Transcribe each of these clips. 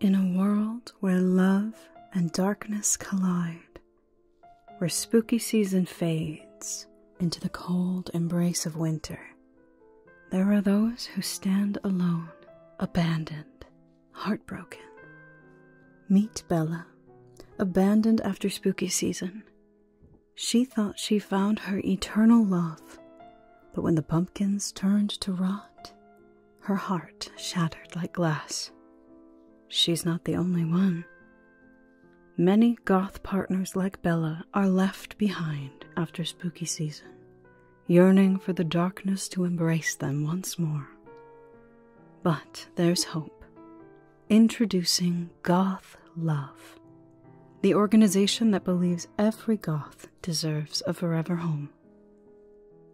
In a world where love and darkness collide, where spooky season fades into the cold embrace of winter, there are those who stand alone, abandoned, heartbroken. Meet Bella, abandoned after spooky season. She thought she found her eternal love, but when the pumpkins turned to rot, her heart shattered like glass. She's not the only one. Many goth partners like Bella are left behind after spooky season, yearning for the darkness to embrace them once more. But there's hope. Introducing Goth Love, the organization that believes every goth deserves a forever home.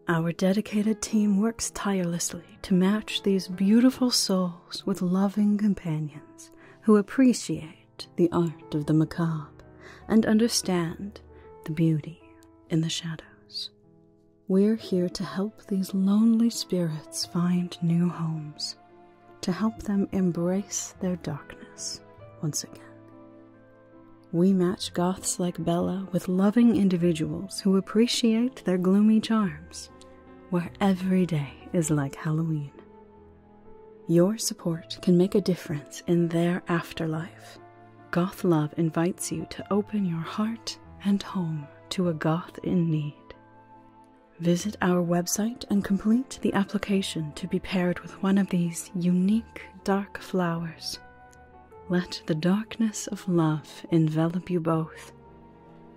Our dedicated team works tirelessly to match these beautiful souls with loving companions who appreciate the art of the macabre and understand the beauty in the shadows. We're here to help these lonely spirits find new homes, to help them embrace their darkness once again. We match goths like Bella with loving individuals who appreciate their gloomy charms, where every day is like Halloween. Your support can make a difference in their afterlife. Goth Love invites you to open your heart and home to a goth in need. Visit our website and complete the application to be paired with one of these unique dark flowers. Let the darkness of love envelop you both.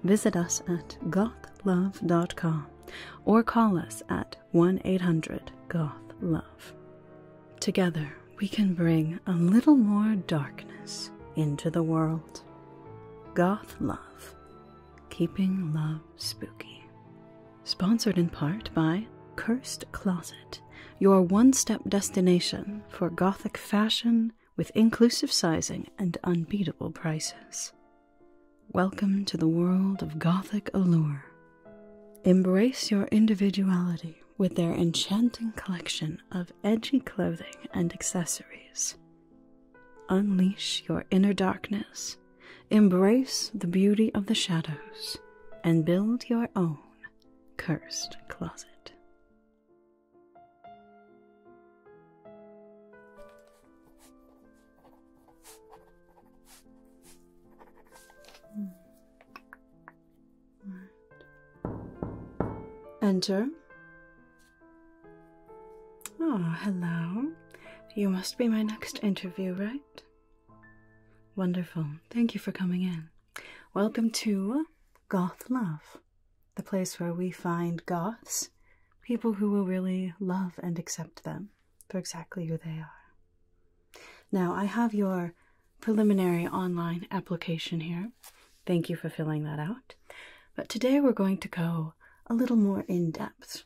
Visit us at gothlove.com or call us at 1 800 GothLove. Together, we can bring a little more darkness into the world. Goth Love, keeping love spooky. Sponsored in part by Cursed Closet, your one step destination for Gothic fashion with inclusive sizing and unbeatable prices. Welcome to the world of Gothic allure. Embrace your individuality with their enchanting collection of edgy clothing and accessories. Unleash your inner darkness Embrace the beauty of the shadows and build your own cursed closet. Enter. Oh, hello. You must be my next interview, right? Wonderful. Thank you for coming in. Welcome to Goth Love, the place where we find goths, people who will really love and accept them for exactly who they are. Now, I have your preliminary online application here. Thank you for filling that out. But today we're going to go a little more in depth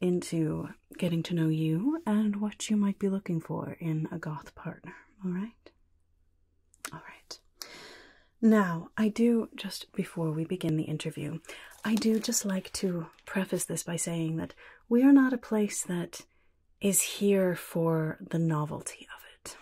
into getting to know you and what you might be looking for in a goth partner, all right? All right. Now, I do, just before we begin the interview, I do just like to preface this by saying that we are not a place that is here for the novelty of it.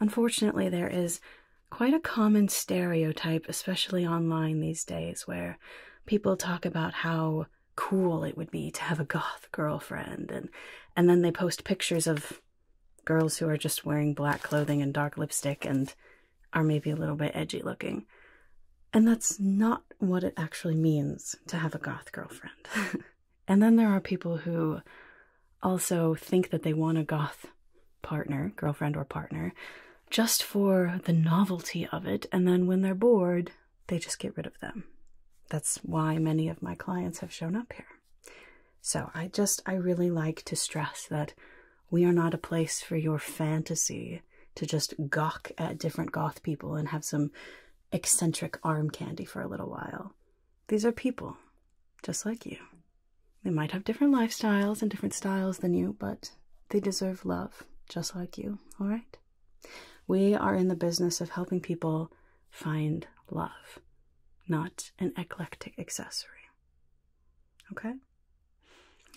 Unfortunately, there is quite a common stereotype, especially online these days, where people talk about how cool it would be to have a goth girlfriend and and then they post pictures of girls who are just wearing black clothing and dark lipstick and are maybe a little bit edgy looking. And that's not what it actually means to have a goth girlfriend. and then there are people who also think that they want a goth partner, girlfriend or partner, just for the novelty of it. And then when they're bored, they just get rid of them. That's why many of my clients have shown up here. So I just, I really like to stress that we are not a place for your fantasy to just gawk at different goth people and have some eccentric arm candy for a little while. These are people just like you. They might have different lifestyles and different styles than you, but they deserve love just like you, all right? We are in the business of helping people find love, not an eclectic accessory. Okay?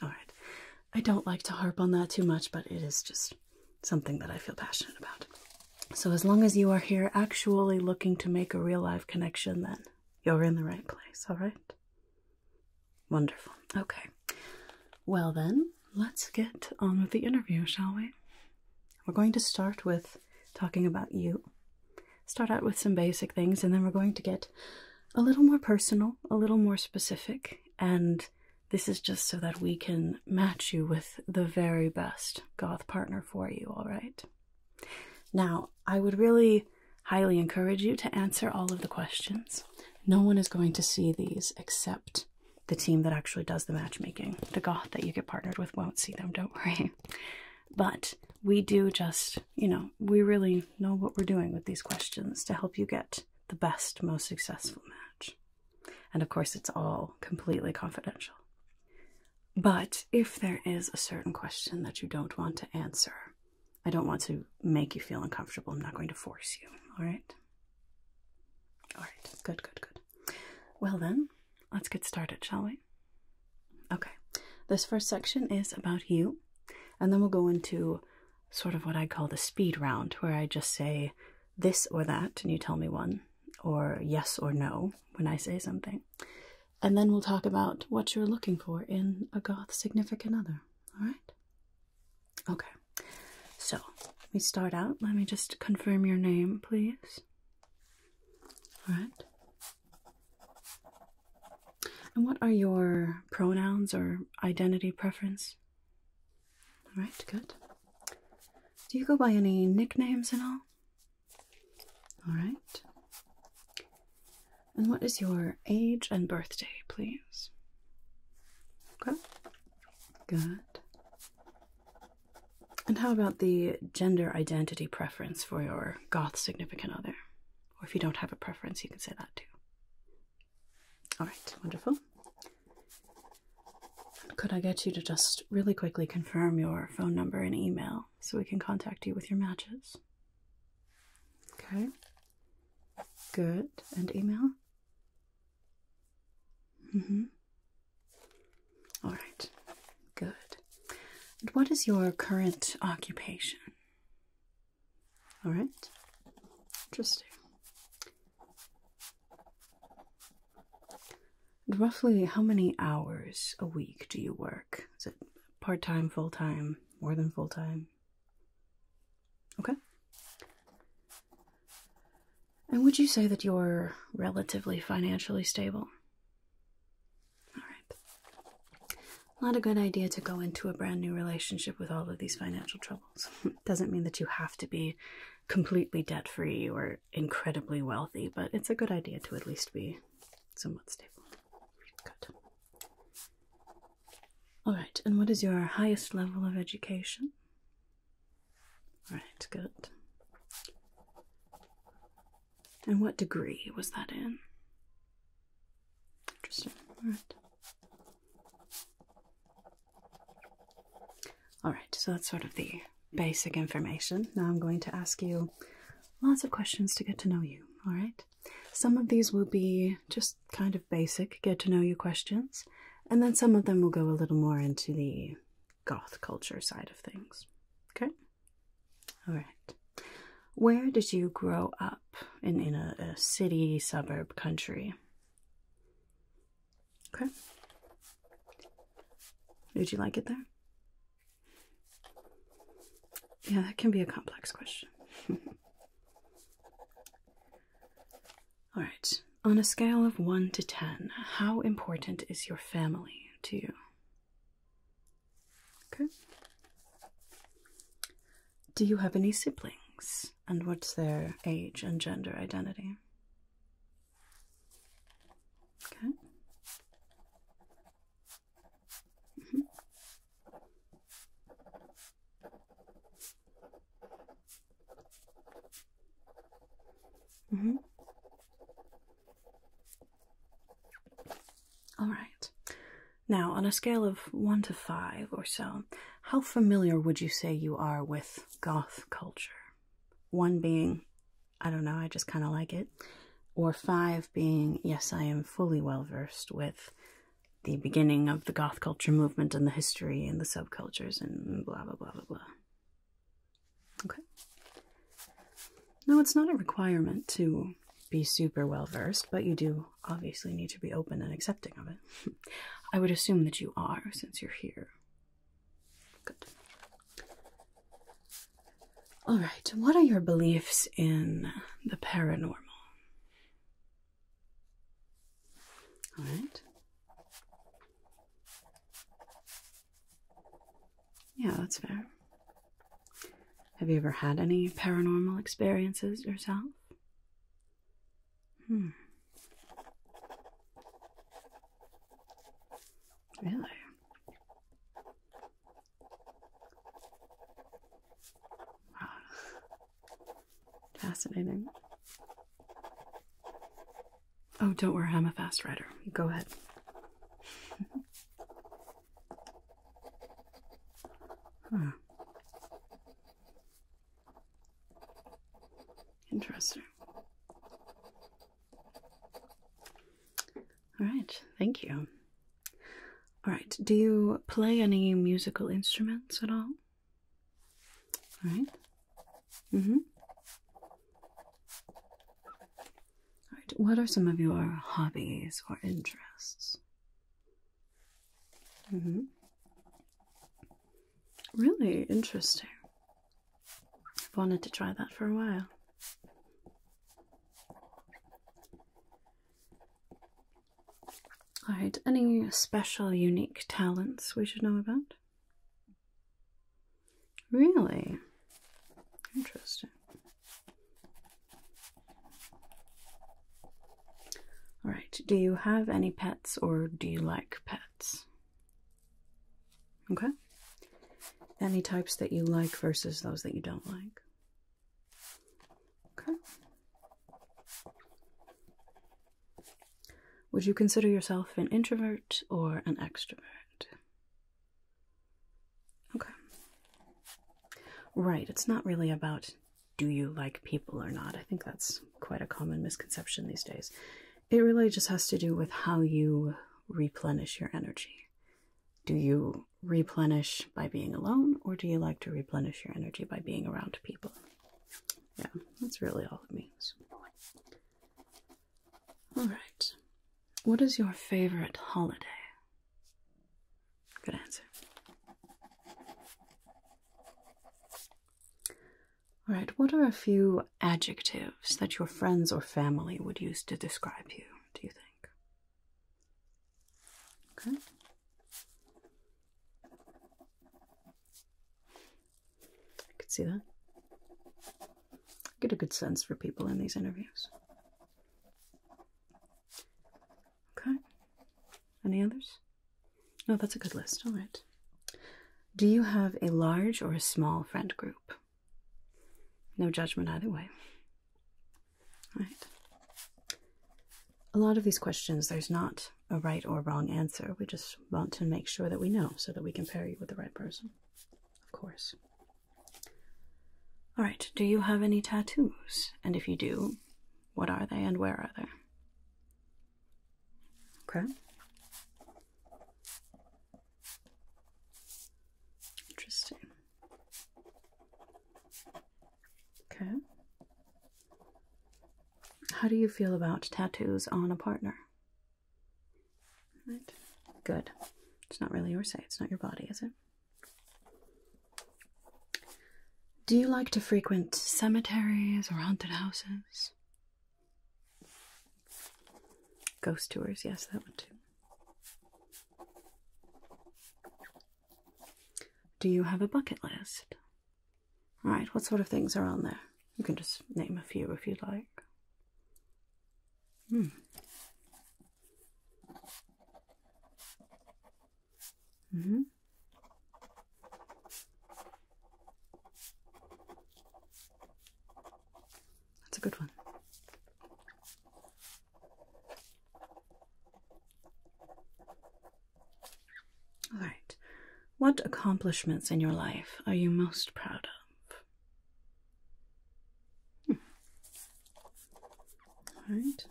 All right. I don't like to harp on that too much, but it is just something that I feel passionate about. So, as long as you are here actually looking to make a real life connection, then you're in the right place, all right? Wonderful. Okay. Well, then, let's get on with the interview, shall we? We're going to start with talking about you. Start out with some basic things, and then we're going to get a little more personal, a little more specific, and this is just so that we can match you with the very best goth partner for you, all right? Now, I would really highly encourage you to answer all of the questions. No one is going to see these except the team that actually does the matchmaking. The goth that you get partnered with won't see them, don't worry. But we do just, you know, we really know what we're doing with these questions to help you get the best, most successful match. And of course, it's all completely confidential. But if there is a certain question that you don't want to answer, I don't want to make you feel uncomfortable. I'm not going to force you, all right? All right, good, good, good. Well, then, let's get started, shall we? Okay, this first section is about you, and then we'll go into sort of what I call the speed round, where I just say this or that, and you tell me one, or yes or no when I say something. And then we'll talk about what you're looking for in a goth significant other, all right? Okay, so we start out. Let me just confirm your name, please. All right. And what are your pronouns or identity preference? All right, good. Do you go by any nicknames at all? All right. And what is your age and birthday, please? Okay. Good. And how about the gender identity preference for your goth significant other? Or if you don't have a preference, you can say that too. All right, wonderful. Could I get you to just really quickly confirm your phone number and email so we can contact you with your matches? Okay. Good. And email? Mm hmm. All right. Good. And what is your current occupation? All right. Interesting. roughly how many hours a week do you work? Is it part time, full time, more than full time? Okay. And would you say that you're relatively financially stable? All right. Not a good idea to go into a brand new relationship with all of these financial troubles. Doesn't mean that you have to be completely debt free or incredibly wealthy, but it's a good idea to at least be somewhat stable. Good. All right, and what is your highest level of education? All right, good. And what degree was that in? Interesting. All right. All right, so that's sort of the basic information. Now I'm going to ask you lots of questions to get to know you, all right? Some of these will be just kind of basic get to know you questions, and then some of them will go a little more into the goth culture side of things. Okay? All right. Where did you grow up in, in a, a city, suburb, country? Okay. Did you like it there? Yeah, that can be a complex question. All right. On a scale of 1 to 10, how important is your family to you? Okay. Do you have any siblings? And what's their age and gender identity? Okay. Mm-hmm. Mm -hmm. All right. Now, on a scale of one to five or so, how familiar would you say you are with goth culture? One being, I don't know, I just kind of like it, or five being, yes, I am fully well versed with the beginning of the goth culture movement and the history and the subcultures and blah blah blah blah blah. Okay. No, it's not a requirement to be super well versed, but you do obviously need to be open and accepting of it. I would assume that you are since you're here. Good. All right, what are your beliefs in the paranormal? All right. Yeah, that's fair. Have you ever had any paranormal experiences yourself? Hmm. Really? Fascinating. Oh, don't worry, I'm a fast writer. Go ahead. Interesting. All right, thank you. All right, do you play any musical instruments at all? Right? Mm-hmm. All right. What are some of your hobbies or interests? hmm Really interesting. I've wanted to try that for a while. Alright, any special unique talents we should know about? Really? Interesting. Alright, do you have any pets or do you like pets? Okay. Any types that you like versus those that you don't like? Okay. Would you consider yourself an introvert or an extrovert? Okay. Right, it's not really about do you like people or not. I think that's quite a common misconception these days. It really just has to do with how you replenish your energy. Do you replenish by being alone, or do you like to replenish your energy by being around people? Yeah, that's really all it means. Alright. What is your favorite holiday? Good answer. Alright, what are a few adjectives that your friends or family would use to describe you, do you think? Okay. I could see that. I get a good sense for people in these interviews. Okay. Any others? No, that's a good list. All right. Do you have a large or a small friend group? No judgment either way. All right a lot of these questions, there's not a right or wrong answer. We just want to make sure that we know so that we can pair you with the right person, of course. All right, do you have any tattoos? And if you do, what are they and where are they? Okay. Interesting. Okay. How do you feel about tattoos on a partner? Right. Good. It's not really your say, it's not your body, is it? Do you like to frequent cemeteries or haunted houses? Ghost tours, yes, that one too. Do you have a bucket list? All right, what sort of things are on there? You can just name a few if you would like. Hmm. Mm hmm That's a good one. All right. What accomplishments in your life are you most proud of? Hmm. All right.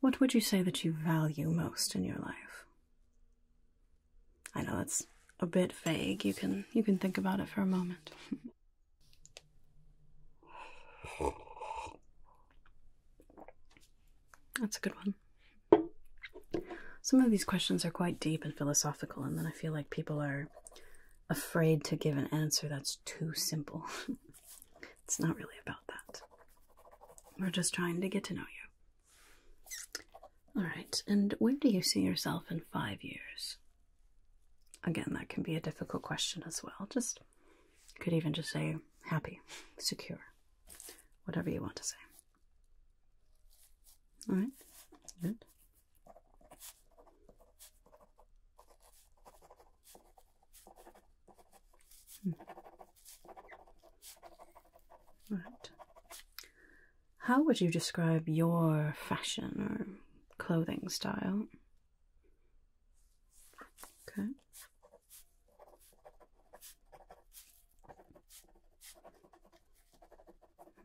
What would you say that you value most in your life? I know that's a bit vague. You can you can think about it for a moment. That's a good one. Some of these questions are quite deep and philosophical, and then I feel like people are afraid to give an answer that's too simple. it's not really about that. We're just trying to get to know you. All right, and where do you see yourself in five years? Again, that can be a difficult question as well. Just could even just say happy, secure, whatever you want to say. All right, good. Hmm. All right. How would you describe your fashion or clothing style? Okay.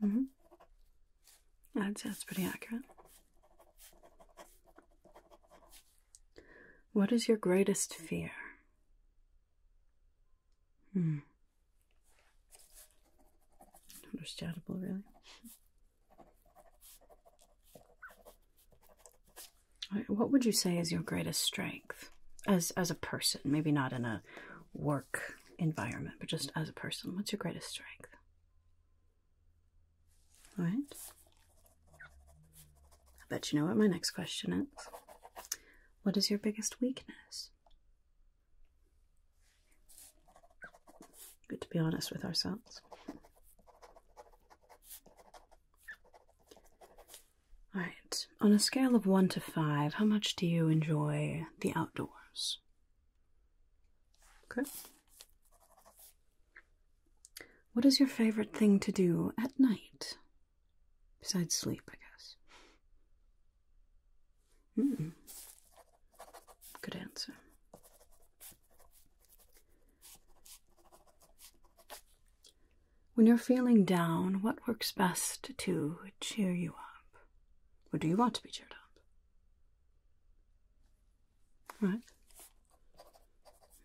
Mm -hmm. I'd say that's pretty accurate. What is your greatest fear? Hmm. Understandable, really. what would you say is your greatest strength as as a person? Maybe not in a work environment, but just as a person. What's your greatest strength? All right. I bet you know what my next question is. What is your biggest weakness? Good to be honest with ourselves. Alright, on a scale of 1 to 5, how much do you enjoy the outdoors? Okay. What is your favorite thing to do at night? Besides sleep, I guess. Hmm. Good answer. When you're feeling down, what works best to cheer you up? What do you want to be cheered up? What? right.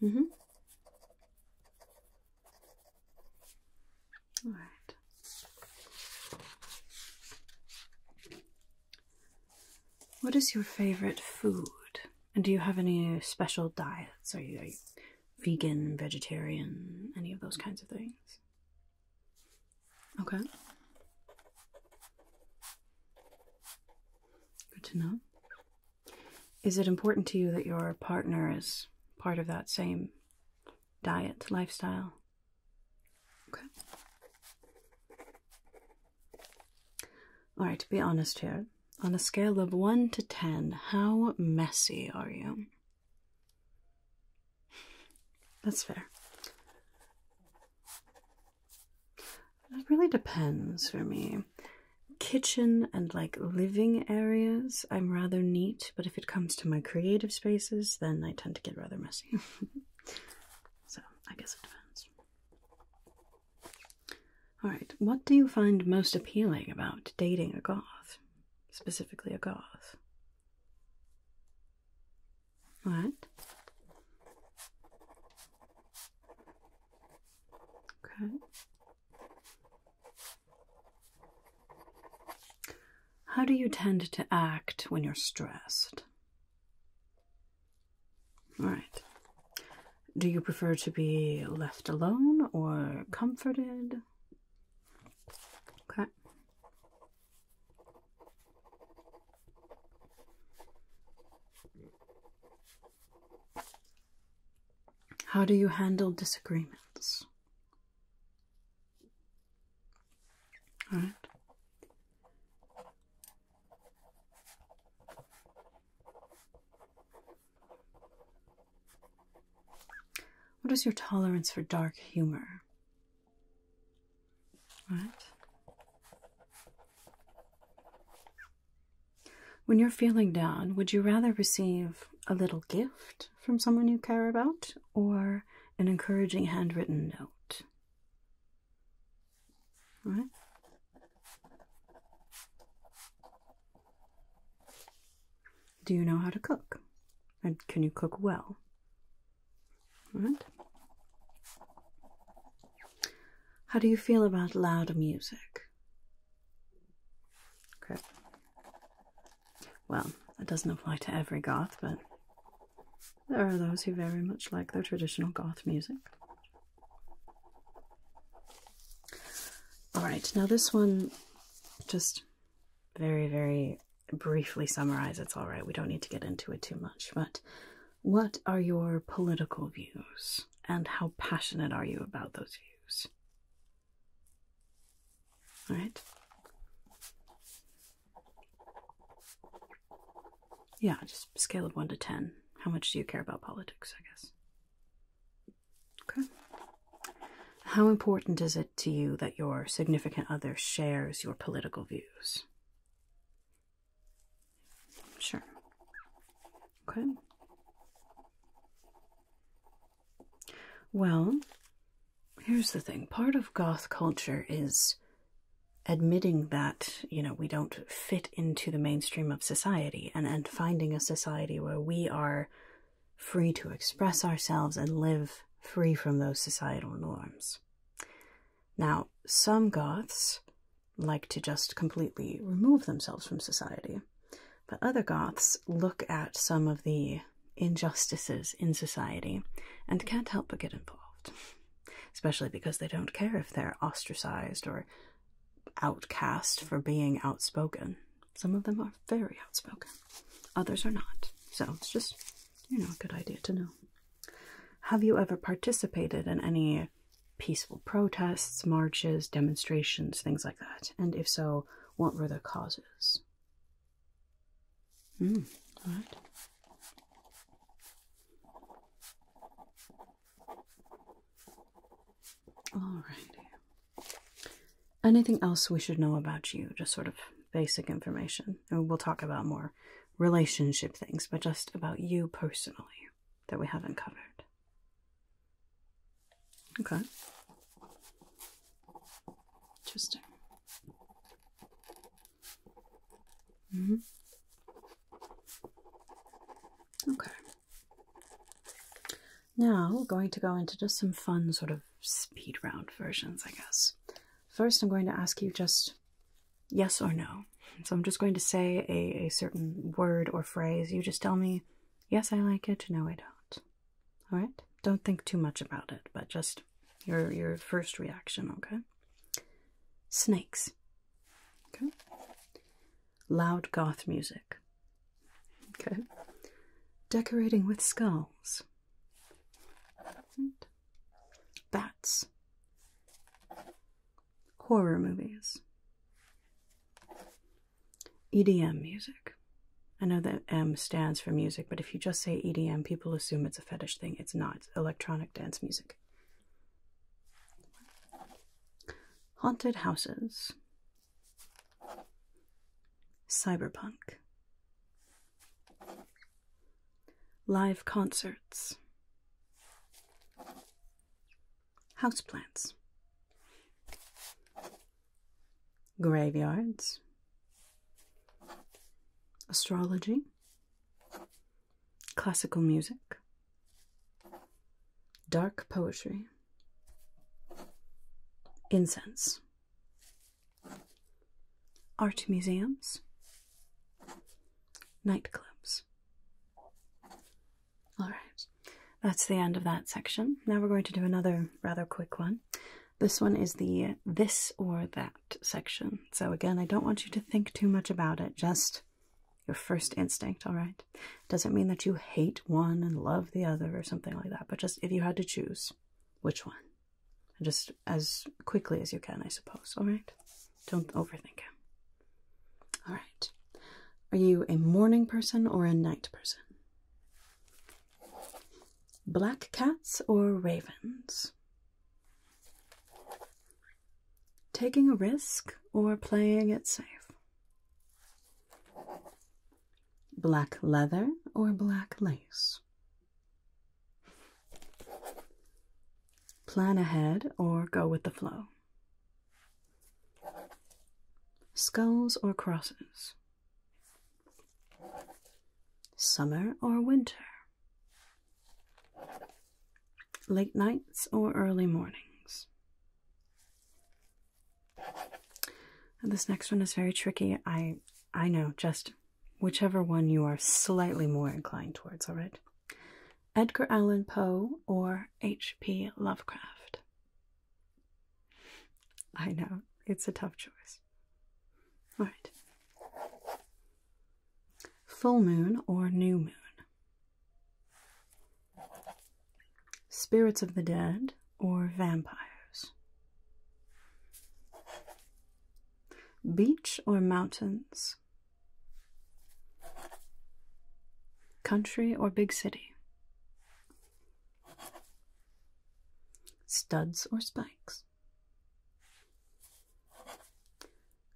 Mm-hmm. All right. What is your favorite food? And do you have any special diets? Are you, are you vegan, vegetarian, any of those kinds of things? Okay. Good to know. Is it important to you that your partner is part of that same diet, lifestyle? Okay. All right, to be honest here, on a scale of 1 to 10, how messy are you? That's fair. It really depends for me. Kitchen and like living areas, I'm rather neat but if it comes to my creative spaces, then I tend to get rather messy. so I guess it depends. Alright, what do you find most appealing about dating a goth? Specifically, a goth? What? Okay. How do you tend to act when you're stressed? All right. Do you prefer to be left alone or comforted? Okay. How do you handle disagreements? All right. What is your tolerance for dark humor? All right. When you're feeling down, would you rather receive a little gift from someone you care about or an encouraging handwritten note. All right. Do you know how to cook? And can you cook well? All right. How do you feel about loud music? Okay. Well, that doesn't apply to every goth, but there are those who very much like their traditional goth music. Alright, now this one just very, very briefly summarize it's all right we don't need to get into it too much but what are your political views and how passionate are you about those views all right yeah, just scale of 1 to 10. How much do you care about politics, I guess? Okay. How important is it to you that your significant other shares your political views? Sure. Okay. Well, here's the thing part of goth culture is admitting that you know we don't fit into the mainstream of society and and finding a society where we are free to express ourselves and live free from those societal norms now some goths like to just completely remove themselves from society but other goths look at some of the injustices in society and can't help but get involved, especially because they don't care if they're ostracized or outcast for being outspoken. Some of them are very outspoken, others are not. So it's just, you know, a good idea to know. Have you ever participated in any peaceful protests, marches, demonstrations, things like that? And if so, what were the causes? Mm, all right. All right. Anything else we should know about you? Just sort of basic information. we'll talk about more relationship things, but just about you personally that we haven't covered. Okay. Interesting. Mm -hmm. Okay. Now we're going to go into just some fun sort of speed round versions, I guess. First, I'm going to ask you just yes or no. So I'm just going to say a, a certain word or phrase. You just tell me, yes, I like it, no, I don't. All right? Don't think too much about it, but just your your first reaction, okay? Snakes. Okay. Loud goth music. Okay. Decorating with skulls. Bats. Horror movies. EDM music. I know that M stands for music, but if you just say EDM, people assume it's a fetish thing. It's not. electronic dance music. Haunted houses. Cyberpunk. Live concerts. house plants graveyards, astrology, classical music, dark poetry, incense, art museums, nightclubs. All right, that's the end of that section. Now we're going to do another rather quick one. This one is the this or that section. So, again, I don't want you to think too much about it, just your first instinct, all right? Doesn't mean that you hate one and love the other or something like that, but just if you had to choose which one, just as quickly as you can, I suppose, all right? Don't overthink it. All right. Are you a morning person or a night person? Black cats or ravens? Taking a risk or playing it safe? Black leather or black lace? Plan ahead or go with the flow? Skulls or crosses? Summer or winter? Late nights or early mornings? this next one is very tricky. I I know just whichever one you are slightly more inclined towards, all right? Edgar Allan Poe or H.P. Lovecraft? I know, it's a tough choice. All right. Full moon or new moon? Spirits of the dead or vampires? Beach or mountains? Country or big city? Studs or spikes?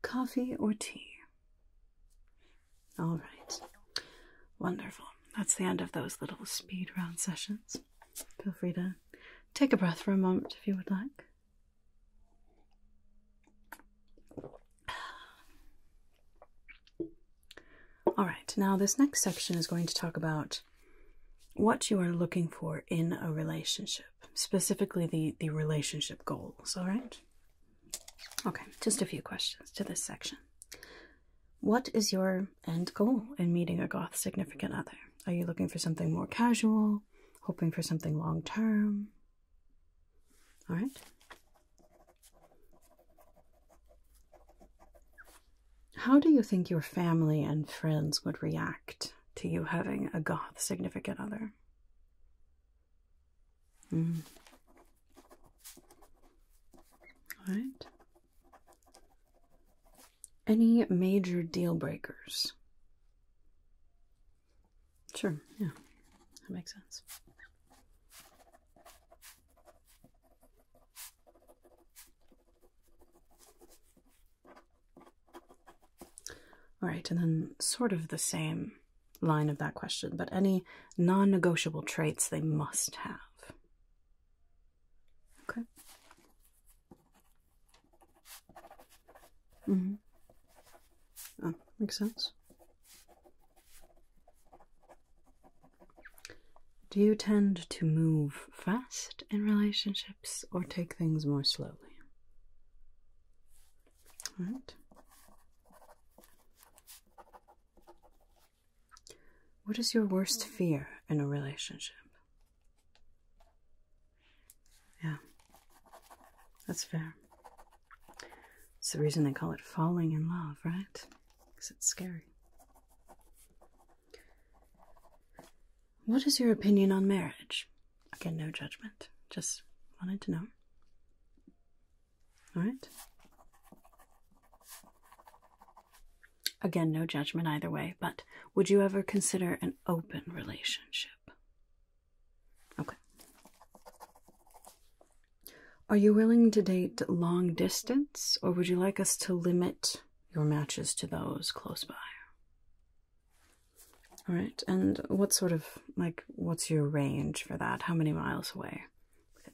Coffee or tea? All right. Wonderful. That's the end of those little speed round sessions. Feel free to take a breath for a moment if you would like. All right, now this next section is going to talk about what you are looking for in a relationship, specifically the, the relationship goals, all right? Okay, just a few questions to this section. What is your end goal in meeting a goth significant other? Are you looking for something more casual, hoping for something long term? All right. How do you think your family and friends would react to you having a goth significant other? Mm. Any major deal breakers? Sure, yeah, that makes sense. All right, and then sort of the same line of that question, but any non negotiable traits they must have. Okay. Mm hmm. Oh, makes sense. Do you tend to move fast in relationships or take things more slowly? All right. What is your worst fear in a relationship? Yeah, that's fair. It's the reason they call it falling in love, right? Because it's scary. What is your opinion on marriage? Again, no judgment. Just wanted to know. All right. Again, no judgment either way, but would you ever consider an open relationship? Okay. Are you willing to date long distance, or would you like us to limit your matches to those close by. All right, and what sort of like what's your range for that? How many miles away?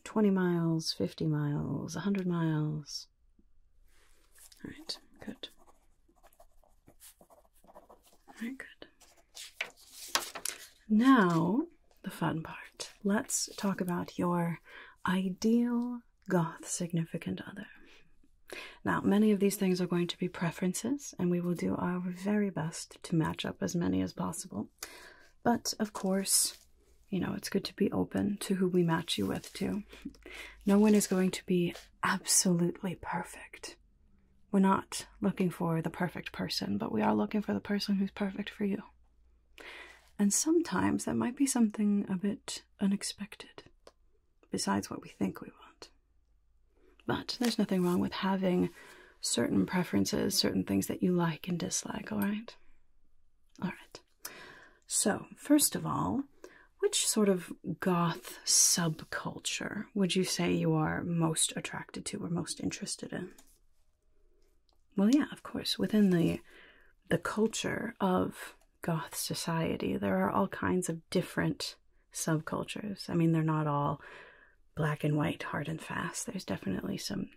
20 miles, 50 miles, 100 miles? All right, good. All right, good. Now, the fun part. Let's talk about your ideal goth significant other. Now, many of these things are going to be preferences, and we will do our very best to match up as many as possible. But of course, you know, it's good to be open to who we match you with, too. No one is going to be absolutely perfect. We're not looking for the perfect person, but we are looking for the person who's perfect for you. And sometimes that might be something a bit unexpected, besides what we think we want. But there's nothing wrong with having certain preferences, certain things that you like and dislike, all right? All right. So, first of all, which sort of goth subculture would you say you are most attracted to or most interested in? Well, yeah, of course, within the the culture of goth society, there are all kinds of different subcultures. I mean, they're not all black and white, hard and fast. There's definitely some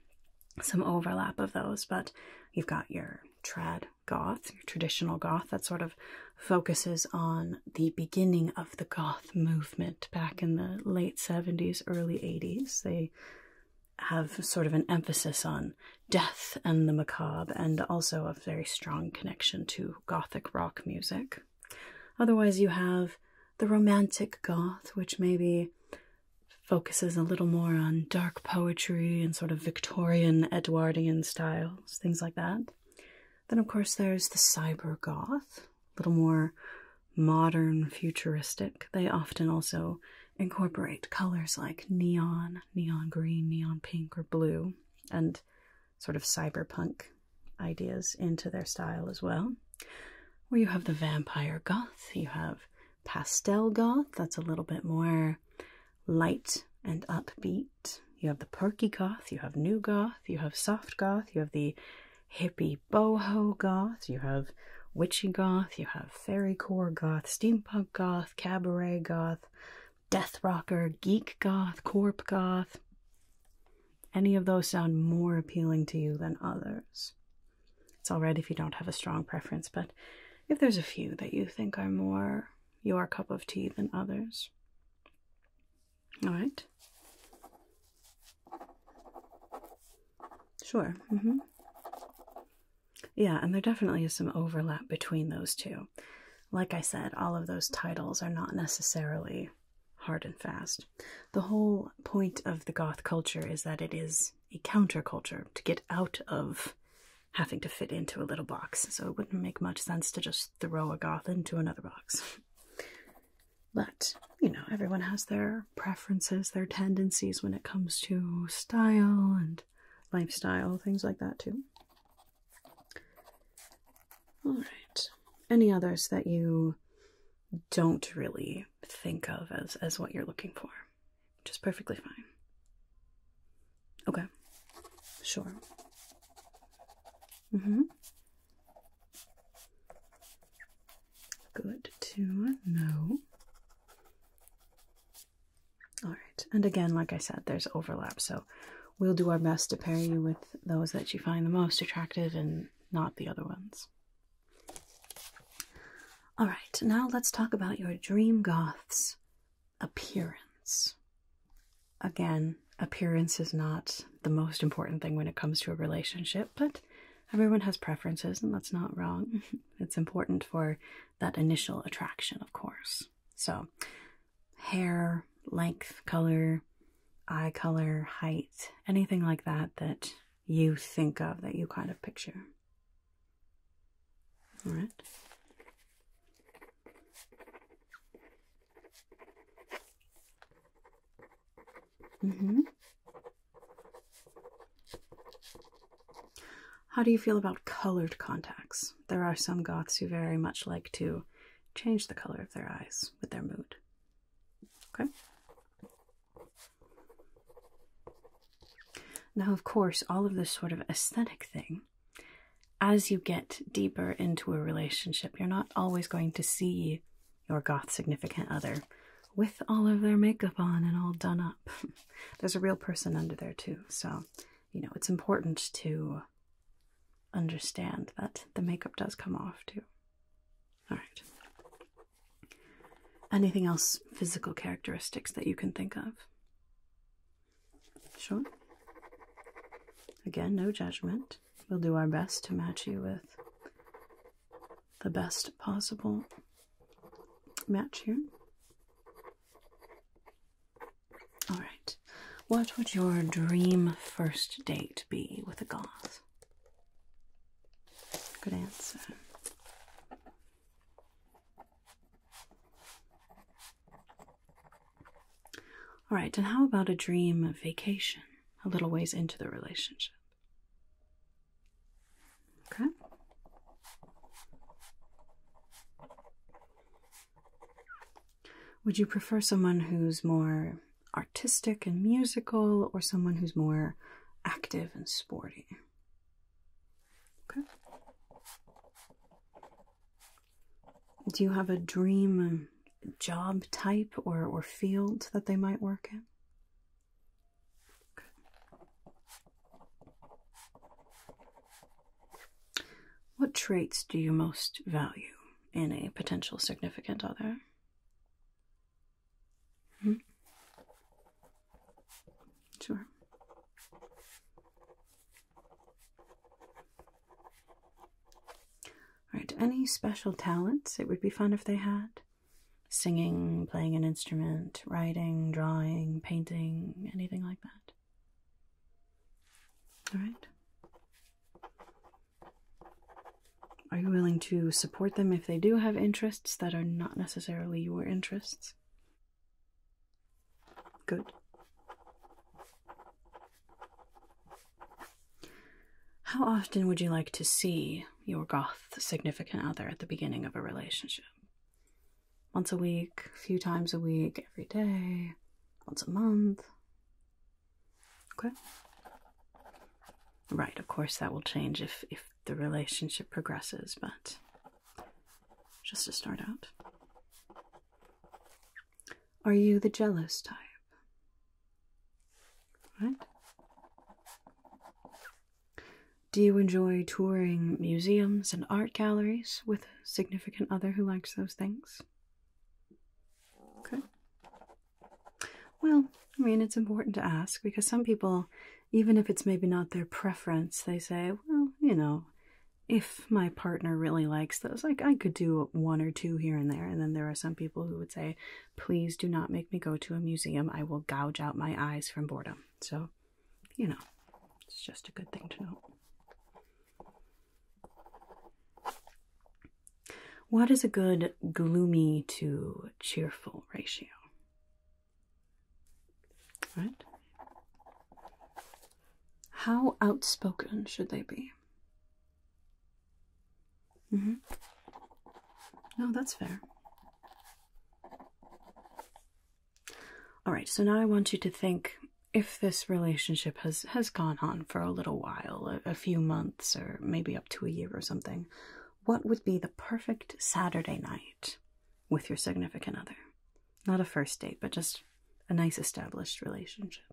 some overlap of those, but you've got your trad goth, your traditional goth that sort of focuses on the beginning of the goth movement back in the late 70s, early 80s. They have sort of an emphasis on death and the macabre, and also a very strong connection to Gothic rock music. Otherwise, you have the Romantic Goth, which maybe focuses a little more on dark poetry and sort of Victorian Edwardian styles, things like that. Then, of course, there's the Cyber Goth, a little more modern, futuristic. They often also incorporate colors like neon, neon green, neon pink, or blue, and sort of cyberpunk ideas into their style as well. Where you have the vampire goth, you have pastel goth, that's a little bit more light and upbeat. You have the perky goth, you have new goth, you have soft goth, you have the hippie boho goth, you have witchy goth, you have fairy core goth, steampunk goth cabaret goth, death rocker, geek goth, corp goth. Any of those sound more appealing to you than others. It's alright if you don't have a strong preference, but if there's a few that you think are more your cup of tea than others. Alright? Sure. Mm-hmm. Yeah, and there definitely is some overlap between those two. Like I said, all of those titles are not necessarily hard and fast. The whole point of the goth culture is that it is a counterculture to get out of having to fit into a little box, so it wouldn't make much sense to just throw a goth into another box. But, you know, everyone has their preferences, their tendencies when it comes to style and lifestyle, things like that too. All right. Any others that you don't really think of as as what you're looking for? Just perfectly fine. Okay. Sure. Mm-hmm. Good to know. All right. And again, like I said, there's overlap. So we'll do our best to pair you with those that you find the most attractive and not the other ones. All right. Now let's talk about your dream goth's appearance. Again, appearance is not the most important thing when it comes to a relationship, but everyone has preferences, and that's not wrong. It's important for that initial attraction, of course. So, hair, length, color, eye color, height, anything like that that you think of, that you kind of picture. All right. Mm-hmm. How do you feel about colored contacts? There are some goths who very much like to change the color of their eyes with their mood. Okay? Now, of course, all of this sort of aesthetic thing, as you get deeper into a relationship, you're not always going to see your goth significant other with all of their makeup on and all done up. there's a real person under there too. So, you know, it's important to understand that the makeup does come off too. All right. Anything else physical characteristics that you can think of? Sure. Again, no judgment. We'll do our best to match you with the best possible match here. All right. What would your dream first date be with a goth? Good answer. All right, and how about a dream vacation a little ways into the relationship? Okay. Would you prefer someone who's more artistic and musical or someone who's more active and sporty? Okay. Do you have a dream um, job type or, or field that they might work in? What traits do you most value in a potential significant other? Hmm? Sure. All right, any special talents it would be fun if they had? Singing, playing an instrument, writing, drawing, painting, anything like that. All right. Are you willing to support them if they do have interests that are not necessarily your interests? Good. How often would you like to see your goth significant other at the beginning of a relationship? once a week, a few times a week, every day, once a month. Okay. Right, of course that will change if if the relationship progresses, but just to start out. Are you the jealous type? Right? Do you enjoy touring museums and art galleries with significant other who likes those things? Okay. Well, I mean, it's important to ask because some people, even if it's maybe not their preference, they say, well, you know, if my partner really likes those, like I could do one or two here and there. And then there are some people who would say, please do not make me go to a museum. I will gouge out my eyes from boredom. So you know, it's just a good thing to know. What is a good gloomy to cheerful ratio? Right? How outspoken should they be? Mm -hmm. No, that's fair. All right, so now I want you to think if this relationship has has gone on for a little while, a, few months or maybe up to a year or something, what would be the perfect Saturday night with your significant other? Not a first date, but just a nice established relationship.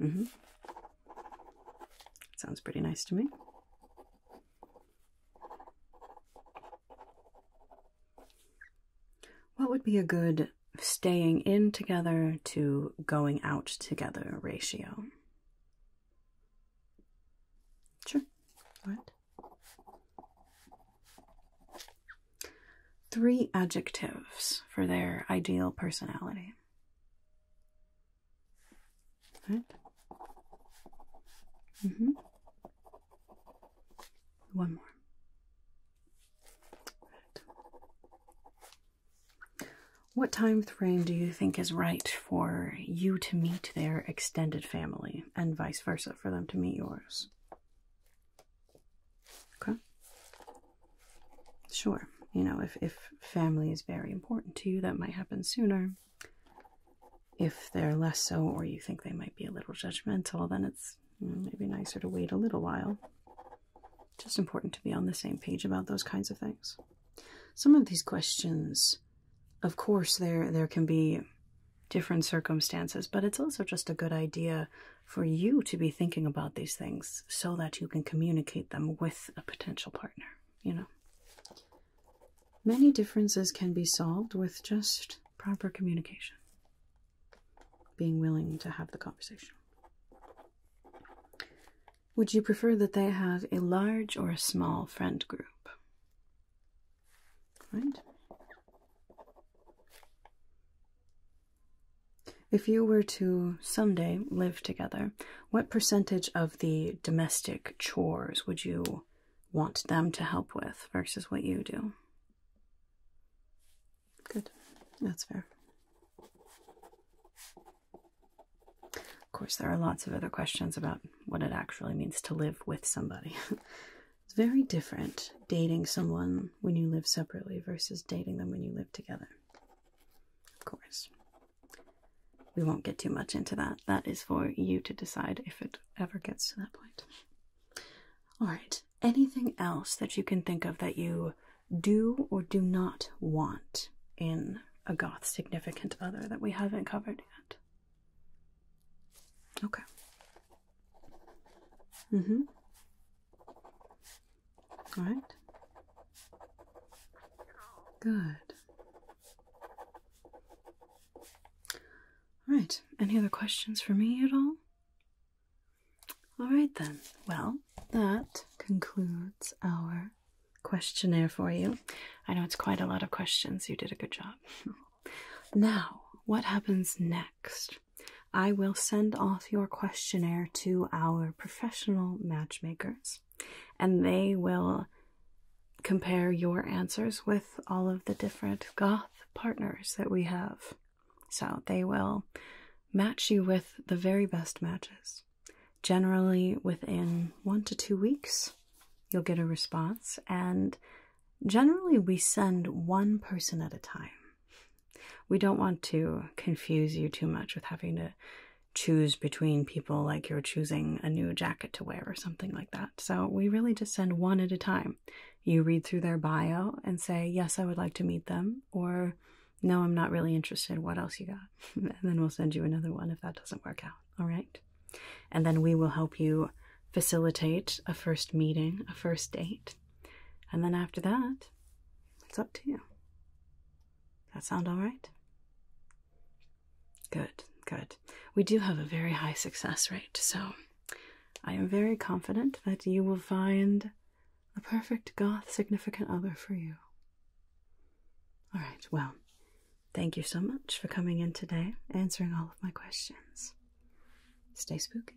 Mhm. Sounds pretty nice to me. What would be a good staying in together to going out together ratio? Sure. What? Three adjectives for their ideal personality. Right? hmm. One more. What time frame do you think is right for you to meet their extended family and vice versa for them to meet yours? Okay. Sure. You know, if, if family is very important to you, that might happen sooner if they're less so or you think they might be a little judgmental, then it's maybe nicer to wait a little while. Just important to be on the same page about those kinds of things. Some of these questions, of course, there there can be different circumstances, but it's also just a good idea for you to be thinking about these things so that you can communicate them with a potential partner, you know. Many differences can be solved with just proper communication, being willing to have the conversation. Would you prefer that they have a large or a small friend group? Right? If you were to someday live together, what percentage of the domestic chores would you want them to help with versus what you do? Good, that's fair. Of course, there are lots of other questions about what it actually means to live with somebody. it's very different dating someone when you live separately versus dating them when you live together. Of course we won't get too much into that. That is for you to decide if it ever gets to that point. All right. Anything else that you can think of that you do or do not want in a goth significant other that we haven't covered yet? Okay. Mm hmm. All right. Good. All right, any other questions for me at all? All right, then. Well, that concludes our questionnaire for you. I know it's quite a lot of questions. You did a good job. now, what happens next? I will send off your questionnaire to our professional matchmakers and they will compare your answers with all of the different goth partners that we have. So they will match you with the very best matches. Generally, within one to two weeks, you'll get a response, and generally, we send one person at a time. We don't want to confuse you too much with having to choose between people like you're choosing a new jacket to wear or something like that. So we really just send one at a time. You read through their bio and say, Yes, I would like to meet them, or No, I'm not really interested. What else you got? and then we'll send you another one if that doesn't work out. All right. And then we will help you facilitate a first meeting, a first date. And then after that, it's up to you. That sound all right? Good, good. We do have a very high success rate, so I am very confident that you will find the perfect goth significant other for you. All right, well, thank you so much for coming in today, answering all of my questions. Stay spooky.